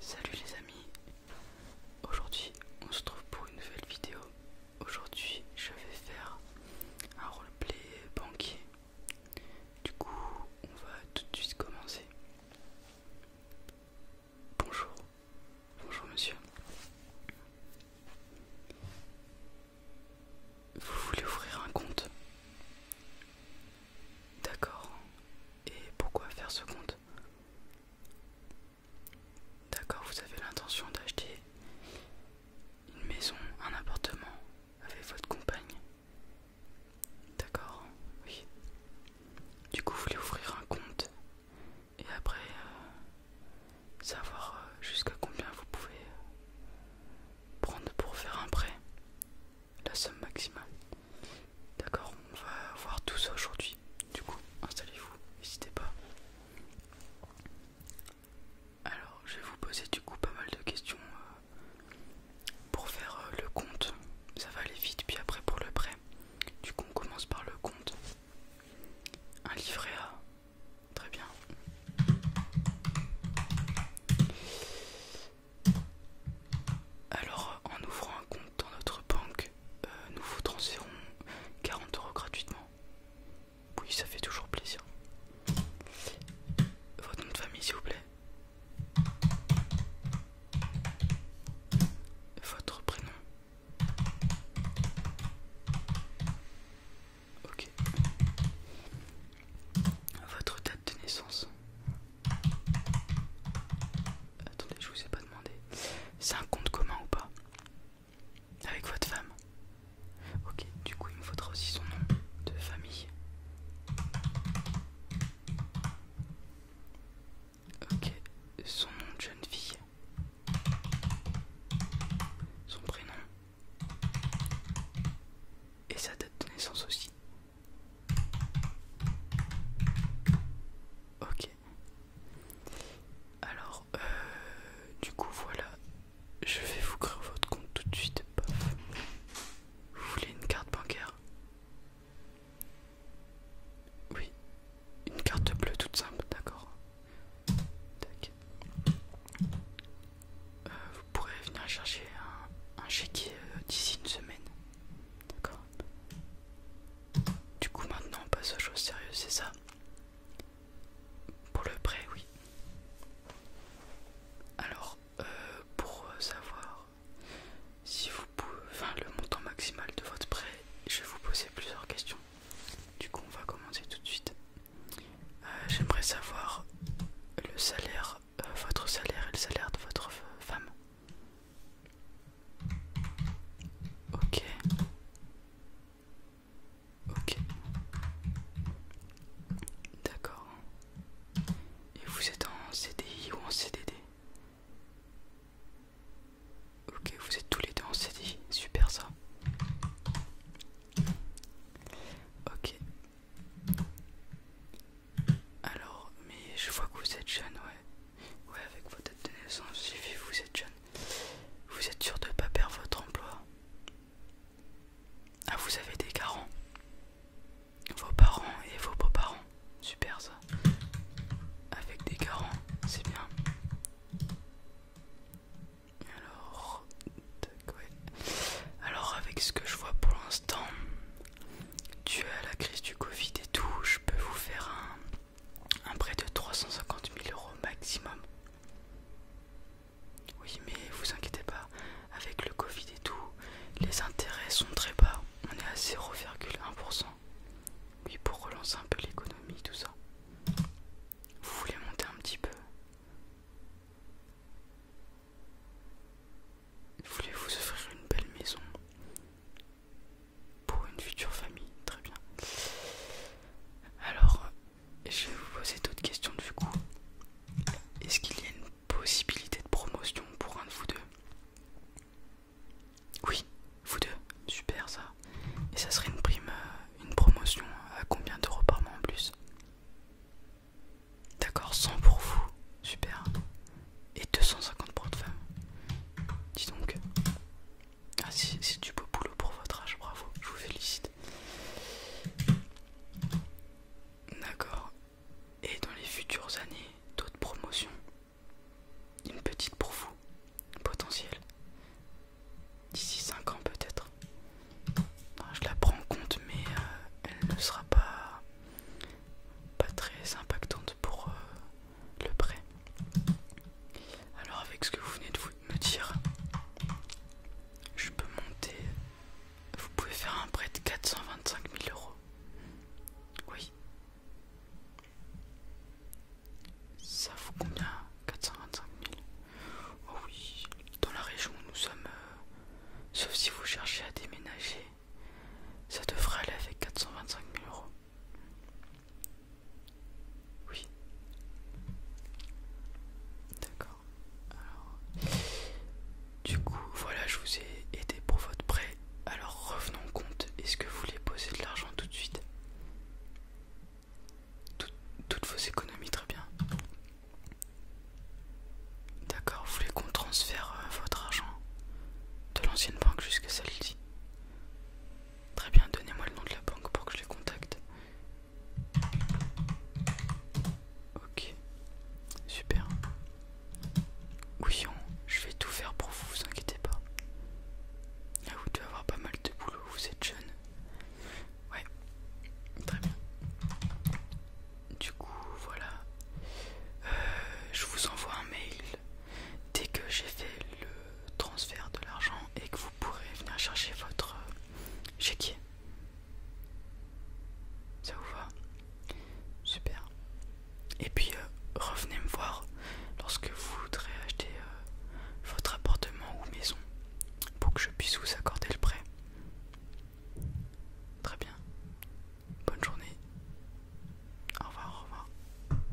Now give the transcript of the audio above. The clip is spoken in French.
Salut les amis, aujourd'hui on se trouve pour une nouvelle vidéo. Aujourd'hui je vais faire un roleplay banquier. Du coup on va tout de suite commencer. Bonjour, bonjour monsieur. Vous voulez ouvrir un compte D'accord. Et pourquoi faire ce compte D'accord, vous avez l'intention d'acheter une maison, un appartement avec votre compagne. D'accord, oui. Du coup, vous voulez ouvrir un compte et après euh, savoir euh, jusqu'à combien vous pouvez prendre pour faire un prêt la somme maximale. D'accord, on va voir tout ça aujourd'hui. Du coup, installez-vous, n'hésitez pas. Alors, je vais vous poser du coup pas mal de questions euh, pour faire euh, le compte. Ça va aller vite, puis après pour le prêt. Du coup, on commence par le compte. Un livret A, Très bien. Alors, en ouvrant un compte dans notre banque, euh, nous vous transférons 40 euros gratuitement. Oui, ça fait toujours plaisir. Votre nom de famille, s'il vous plaît. Votre prénom. Ok. Votre date de naissance. Attendez, je vous ai pas demandé. C'est un compte commun ou pas Avec votre femme Ok, du coup, il me faudra aussi son nom de famille. Ok, son nom de jeune fille. Son prénom et sa date de naissance aussi. Ok. Alors, euh, du coup, voilà. Je vais vous créer votre compte tout de suite. Vous voulez une carte bancaire Oui, une carte bleue toute simple, d'accord Tac. Euh, vous pourrez venir chercher un, chéquier euh, d'ici une semaine. D'accord Du coup, maintenant on passe aux choses sérieuses, c'est ça Pour le prêt, oui. Alors, euh, pour savoir si vous pouvez, le montant maximal de votre prêt, je vais vous poser plusieurs questions. Du coup, on va commencer tout de suite. Euh, j'aimerais savoir le salaire, euh, votre salaire et le salaire de votre femme. Ok. Ok. D'accord. Et vous êtes en CDI ou en CDD Ok, vous êtes tous les deux en CD, super ça. Ok. Alors, mais je vois que vous êtes jeune, ouais. Ouais, avec votre date de naissance, j'ai vous êtes jeune. Vous êtes sûr de ne pas perdre votre emploi Ah, vous avez des garants Vos parents et vos beaux-parents super ça. Avec des garants, c'est bien. Alors, Alors avec ce que je vois pour l'instant, dû à la crise du Covid et tout, je peux vous faire un, un prêt de 350 000 euros maximum. Oui, mais vous inquiétez pas, avec le Covid et tout, les intérêts sont très bas on est à 0,1%. Oui, pour relancer un peu l'économie, tout ça. Vous voulez monter un petit peu Vous voulez vous offrir une belle maison pour une future famille Très bien. Alors, je vais vous poser d'autres questions du coup. Est-ce qu'il y a une possibilité de promotion pour un de vous deux Oui, vous deux, super ça. Et ça serait une prime, euh, une promotion à combien d'euros par mois en plus D'accord, 100 pour vous, super. Et 250 pour de femme. Dis donc. Ah, c'est du beau boulot pour votre âge, bravo, je vous félicite. D'accord, et dans les futures années d'autres promotions. Une petite pour vous, potentielle. D'ici 5 ans peut-être. Je la prends en compte mais euh, elle ne sera pas, pas très impactante pour euh, le prêt. Alors avec ce que vous venez de me dire, je peux monter vous pouvez faire un prêt de 425 000 euros. Oui. Ça vous combien 425 000 Oh oui, dans la région où nous sommes, euh, sauf si vous cherchez à déménager, ça devrait aller avec 425 000 euros. Oui. D'accord. Du coup, voilà, je vous ai aidé pour votre prêt. Alors revenons au compte. Est-ce que vous voulez poser de l'argent tout de suite Toutes vos économies, très bien. D'accord, vous voulez qu'on transfère euh, votre argent de l'ancienne banque jusqu'à celle-ci Très bien, donnez-moi le nom de la banque pour que je les contacte. Ok, super. Ouillon, je vais tout faire pour vous, vous inquiétez pas. Ah, vous devez avoir pas mal de boulot, vous êtes jeune. Ouais, très bien. Du coup, voilà. Euh, je vous envoie un mail dès que j'ai fait le transfert de l'argent et que vous pourrez venir chercher votre euh, chéquier. Ça vous va Super. Et puis euh, revenez me voir lorsque vous voudrez acheter euh, votre appartement ou maison pour que je puisse vous accorder le prêt. Très bien. Bonne journée. Au revoir, au revoir.